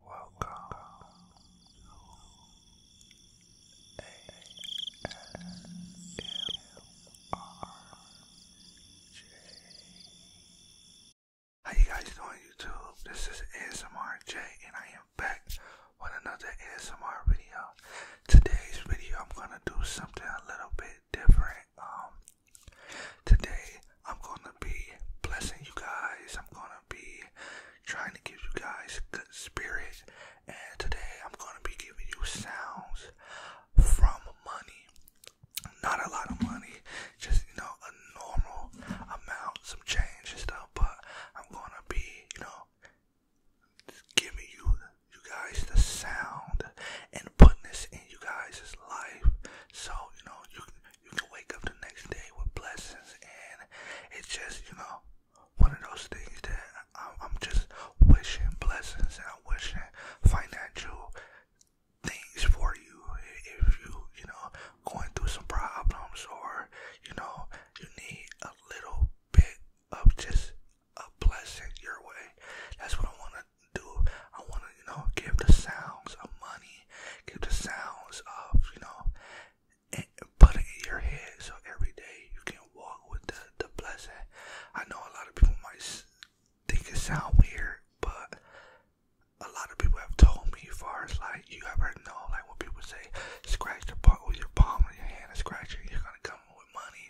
Welcome to How you guys doing YouTube? This is ASMRJ and I am back with another ASMR video. Today's video I'm gonna do something a little bit different. Um today I'm gonna be blessing you guys. I'm gonna be trying to give you guys good spirits, And today I'm gonna be giving you sounds from money. Not a lot of money, just you know, a normal amount, some change and stuff, but I'm gonna be, you know, giving you you guys the sound and putting this in you guys' life. So, you know, you you can wake up the next day with blessings, and it's just you know one of those things that I'm just wishing blessings and I'm wishing financial things for you if you you know going through some problems or you know you need a little bit of just a blessing your way. That's what I want to do. I want to you know give the sounds of money give the sounds of, you know, and eh, put it in your head so every day you can walk with the, the blessing. I know a lot of people might think it sound weird, but a lot of people have told me as far as like you ever know like when people say scratch the part with your palm in your hand and scratch it, you're gonna come with money.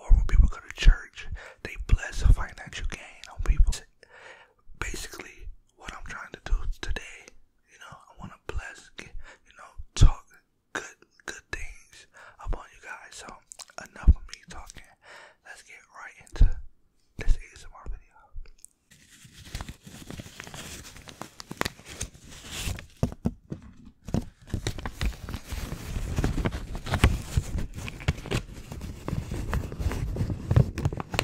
Or when people go to church, they bless a financial gain on people. Basically, what I'm trying to do today. You know, I want to bless, you know, talk good, good things upon you guys. So enough of me talking. Let's get right into this ASMR video.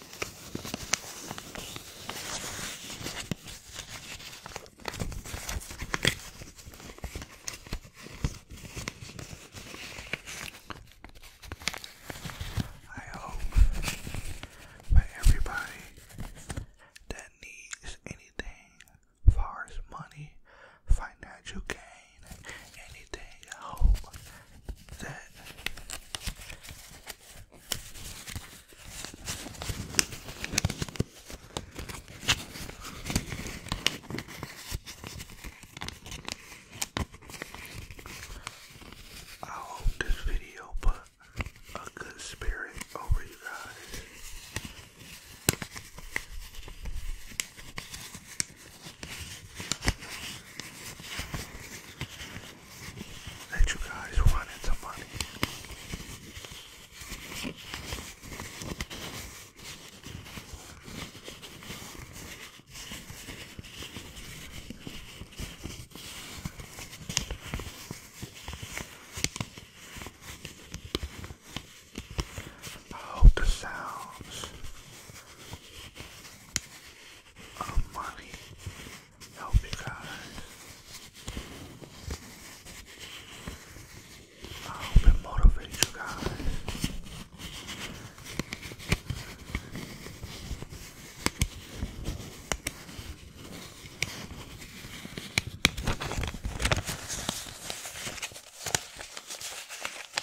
I hope that everybody that needs anything far as money, financial gain, anything, I hope that I hope this video put a good spirit over you guys that you guys wanted some money. I hope the sounds of oh, money help you guys. I hope it motivates you guys.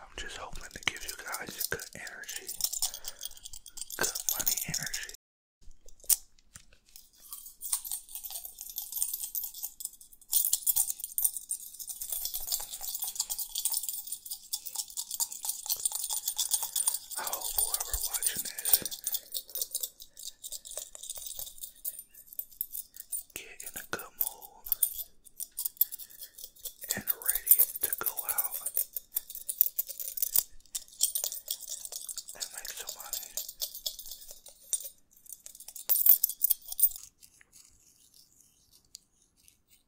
I'm just hoping to give you guys good energy, good money energy. I hope whoever watching this get in a good mood and ready to go out and make some money.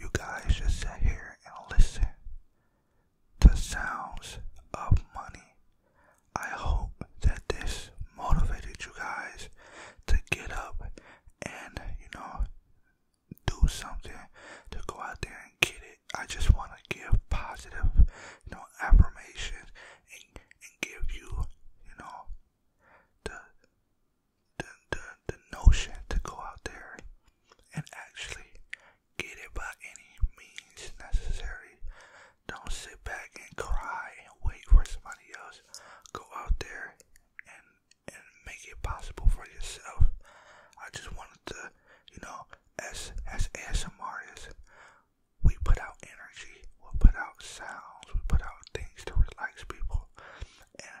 You guys just sit here and listen to sounds of money. I hope that this motivated you guys to get up and, you know, do something to go out there and get it. I just want to give positive, you know, affirmations and, and give you, you know, the, the, the, the notion to go out there and actually get it by any means necessary. Don't sit back and cry and wait for somebody else. Go out there and and make it possible for yourself. I just wanted to you know, as as ASM artists, we put out energy, we put out sounds, we put out things to relax people, and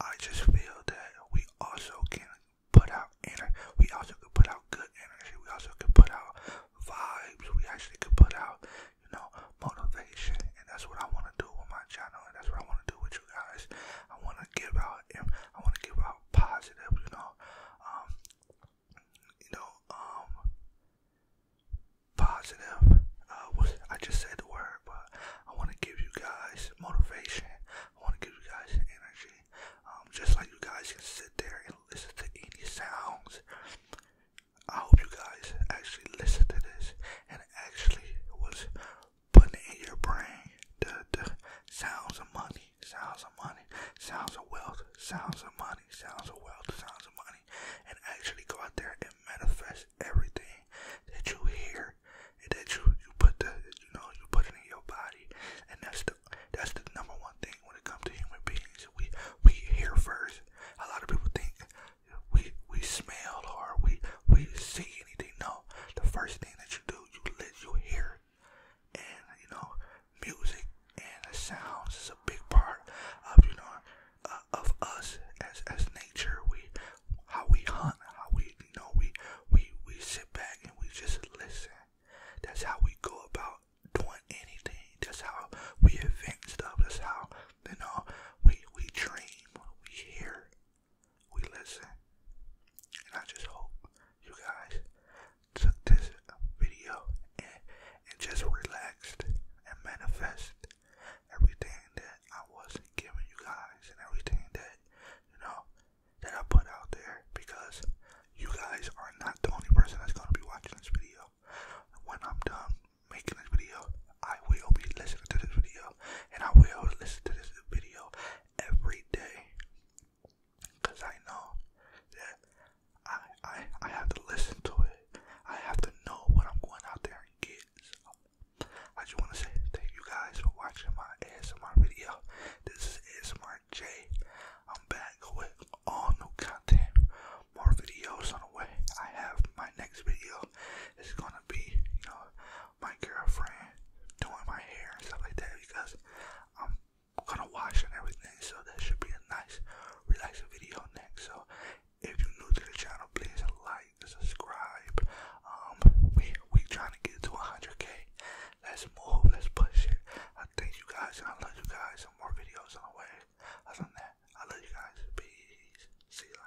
I just feel that we also can put out energy. We also can put out good energy. We also can put out vibes. We actually could put out, you know, motivation, and that's what I want to do with my channel, and that's what I want to do with you guys. I want to give out, I want to give out positive, you know. Um, you know, um, positive. Uh, I just said the word, but I want to give you guys motivation. I want to give you guys energy. Um, just like you guys can sit there and listen to any sounds. I hope you guys actually listen to this and actually was putting it in your brain the, the sounds of money, sounds of money, sounds of wealth, sounds of money, sounds of wealth, sounds of money, and actually go out there and manifest everything that you hear and that you, you put the you know you put it in your body, and that's the that's the number one thing when it comes to human beings. We we hear first. A lot of people think we we smell or we we see anything. No, the first thing that you do you let you hear. And you know, music and the sounds is a big part of you know uh, of us as as nature. We how we hunt, how we you know we we we sit back and we just listen. That's how we go about doing anything. That's how we invent stuff. That's how you know we we dream, we hear, we listen. And I just hope you guys took this video and, just relaxed and manifest everything that I was giving you guys and everything that you know that I put out there because you guys are not the only person that's gonna be watching this video. When I'm done making this video, I will be listening to this video and I will listen to this video every day. Cause I know that I I I have to listen to it. I have to know what I'm going out there and get. I just wanna say thank you guys for watching my ASMR video. This is ASMR J. I'm back with all new content. More videos on the way. I have my next video it's gonna be, you know, my girlfriend doing my hair and stuff like that because I'm gonna wash and everything. So that should be a nice, relaxing video next. So if you're new to the channel, please like, subscribe. Um, we we trying to get to 100k. Let's move. Let's push it. I thank you guys and I love you guys. Some more videos on the way. Other than that, I love you guys. Peace. See you.